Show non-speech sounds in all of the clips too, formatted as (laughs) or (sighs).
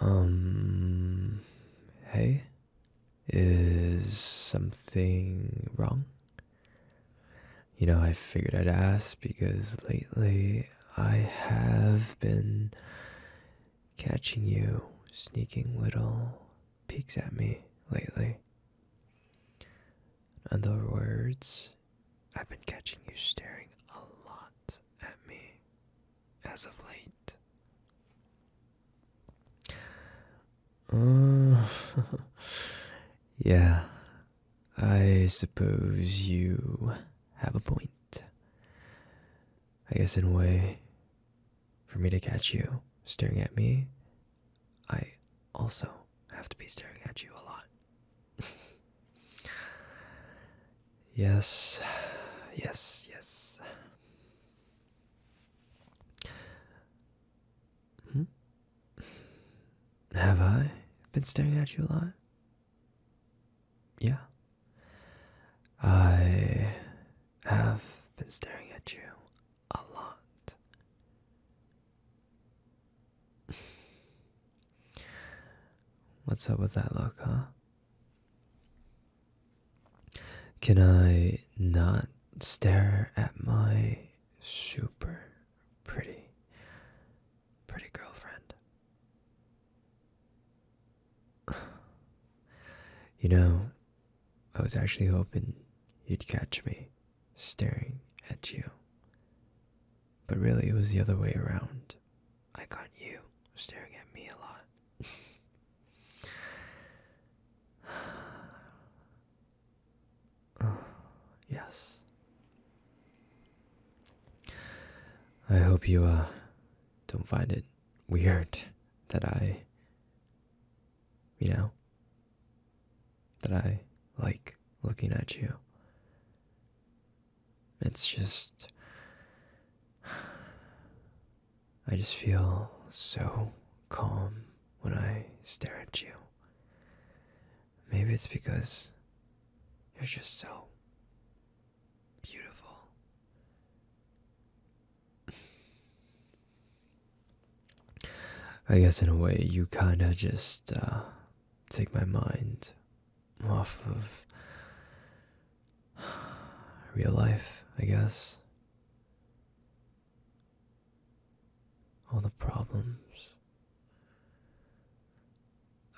Um, hey, is something wrong? You know, I figured I'd ask because lately I have been catching you sneaking little peeks at me lately. In other words, I've been catching you staring a lot at me as of late. Uh, (laughs) yeah, I suppose you have a point. I guess, in a way, for me to catch you staring at me, I also have to be staring at you a lot. (laughs) yes, yes, yes. Hmm? Have I been staring at you a lot? Yeah. I have been staring at you a lot. What's up with that look, huh? Can I not stare at my super pretty, pretty girlfriend? (sighs) You know, I was actually hoping you'd catch me staring at you. But really, it was the other way around. I caught you staring at me a lot. (sighs) yes. I hope you, uh, don't find it weird that I, you know, that I like looking at you. It's just. (sighs) I just feel so calm when I stare at you. Maybe it's because you're just so beautiful. (sighs) I guess in a way you kinda just uh, take my mind off of (sighs) real life, I guess. All the problems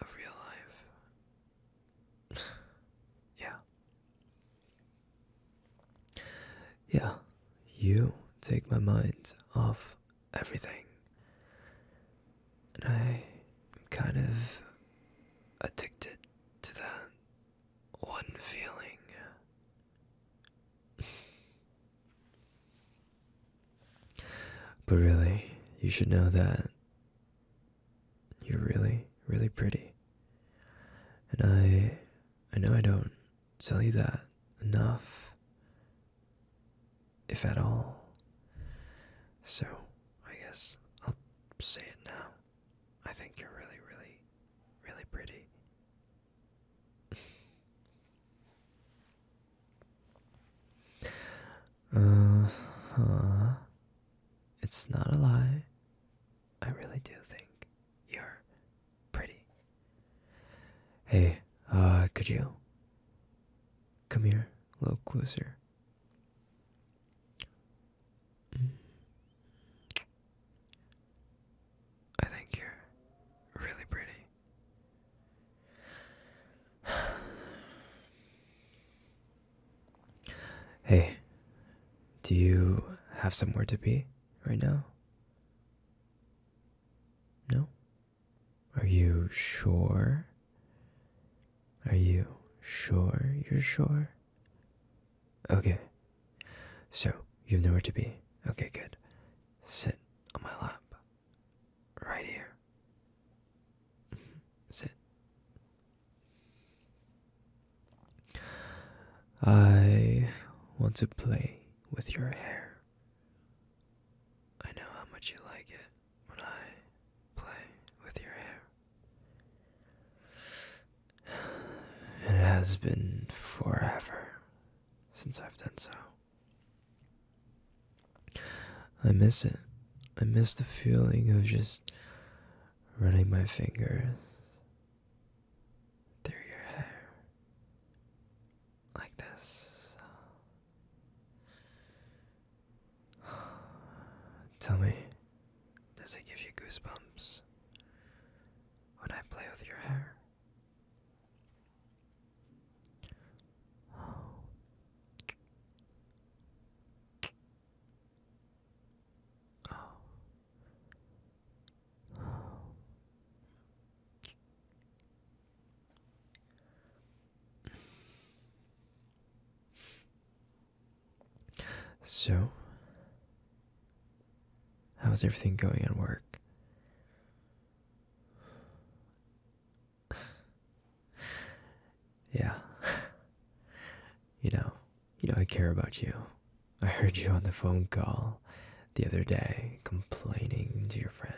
of real life. (sighs) yeah. Yeah, you take my mind off everything. And I'm kind of addicted to that one feeling. (laughs) but really, you should know that you're really, really pretty. And I I know I don't tell you that enough, if at all. So, I guess I'll say it now. I think you're really, really, really pretty. (laughs) Uh-huh. It's not a lie. I really do think you're pretty. Hey, uh, could you come here a little closer? Mm. I think you're really pretty. (sighs) Hey, do you have somewhere to be right now? No? Are you sure? Are you sure you're sure? Okay. So, you have nowhere to be. Okay, good. Sit on my lap. Right here. (laughs) Sit. I want to play with your hair. I know how much you like it when I play with your hair. (sighs) it has been forever since I've done so. I miss it. I miss the feeling of just running my fingers through your hair like this. (sighs) Tell me, does it give you goosebumps when I play with your hair? Oh. Oh. So, how's everything going at work? (laughs) yeah, (laughs) You know, you know I care about you. I heard you on the phone call the other day complaining to your friend.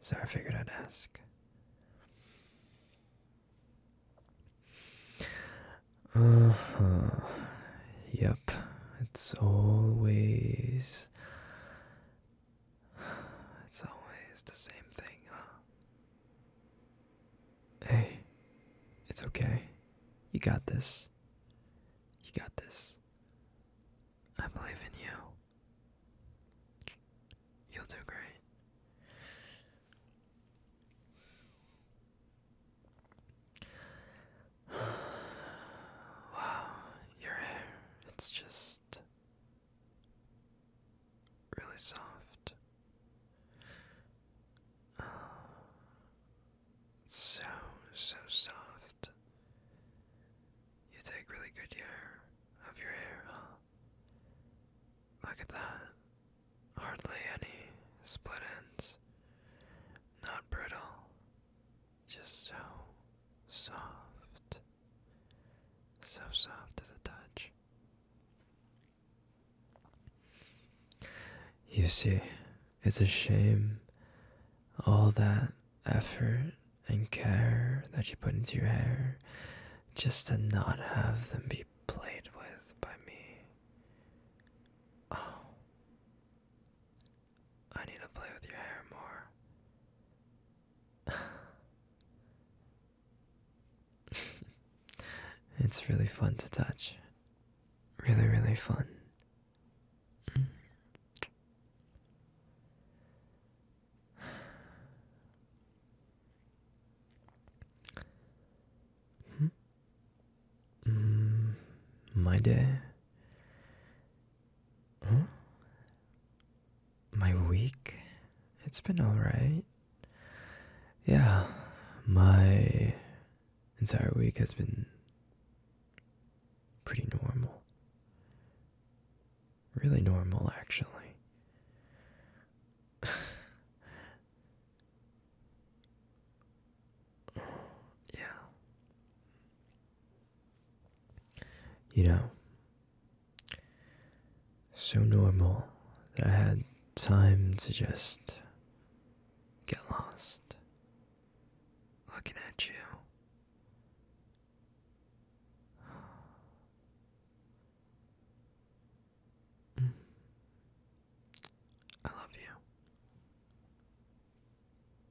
So I figured I'd ask. Uh huh. Yep. It's always. It's always the same thing, huh? Hey, it's okay. You got this. You got this. I believe in you. You'll do great. (sighs) Wow, your hair, it's just really soft. Uh, so, so soft. You take really good care of your hair, huh? Look at that. Hardly any split ends. Not brittle. Just so soft. So soft to the touch. You see, it's a shame all that effort and care that you put into your hair just to not have them be played with by me. Oh. I need to play with your hair more. (laughs) (laughs) it's really fun to touch. Really, really fun. Hmm? my day. Huh? my week it's been all right yeah my entire week has been pretty normal really normal actually (sighs) yeah you know so normal that I had time to just get lost looking at you. (sighs) I love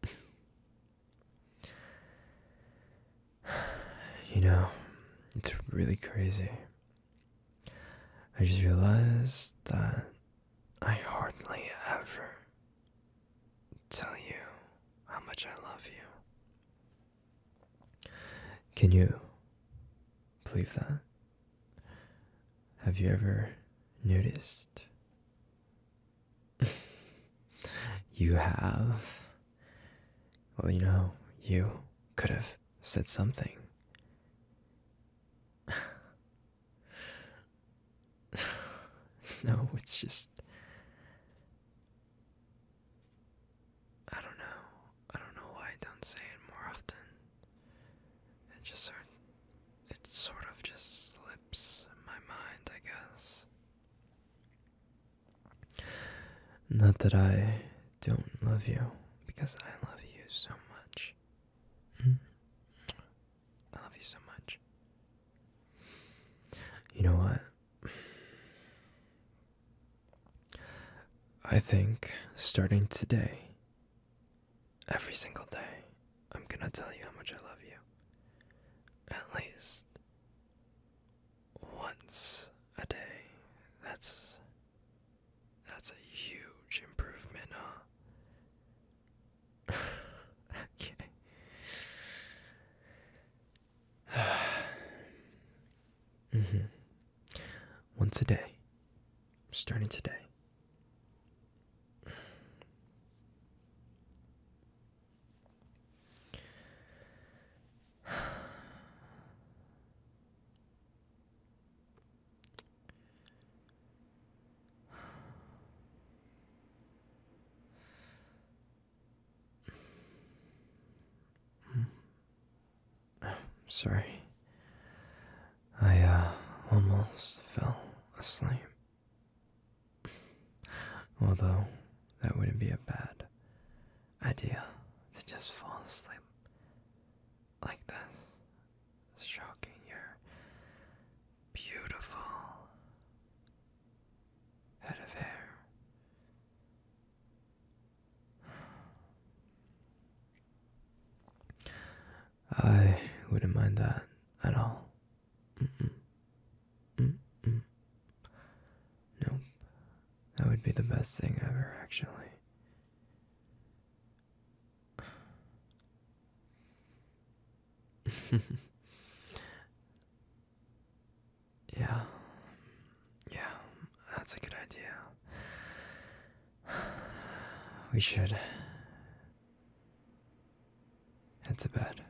you. (laughs) (sighs) You know, it's really crazy. I just realized that I hardly ever tell you how much I love you. Can you believe that? Have you ever noticed? (laughs) you have. Well, you know, you could have said something. (laughs) no, it's just. I don't know. I don't know why I don't say it more often. It just sort it sort of just slips my mind, I guess. Not that I don't love you, because I love you so much. Hmm? I love you so much. You know what? I think starting today, every single day, I'm gonna tell you how much I love you. At least once a day. That's that's a huge improvement, huh? (laughs) okay. (sighs) hmm Once a day. Starting today. (sighs) Sorry. I uh, almost fell asleep. Although, that wouldn't be a bad idea to just fall asleep like this, stroking your beautiful head of hair. I wouldn't mind that at all. Mm That would be the best thing ever, actually. (laughs) yeah. Yeah, that's a good idea. (sighs) We should head to bed.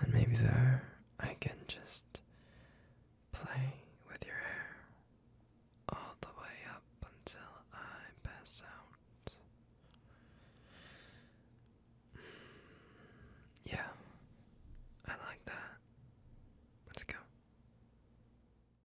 And maybe there I can just play with your hair all the way up until I pass out. Yeah, I like that. Let's go.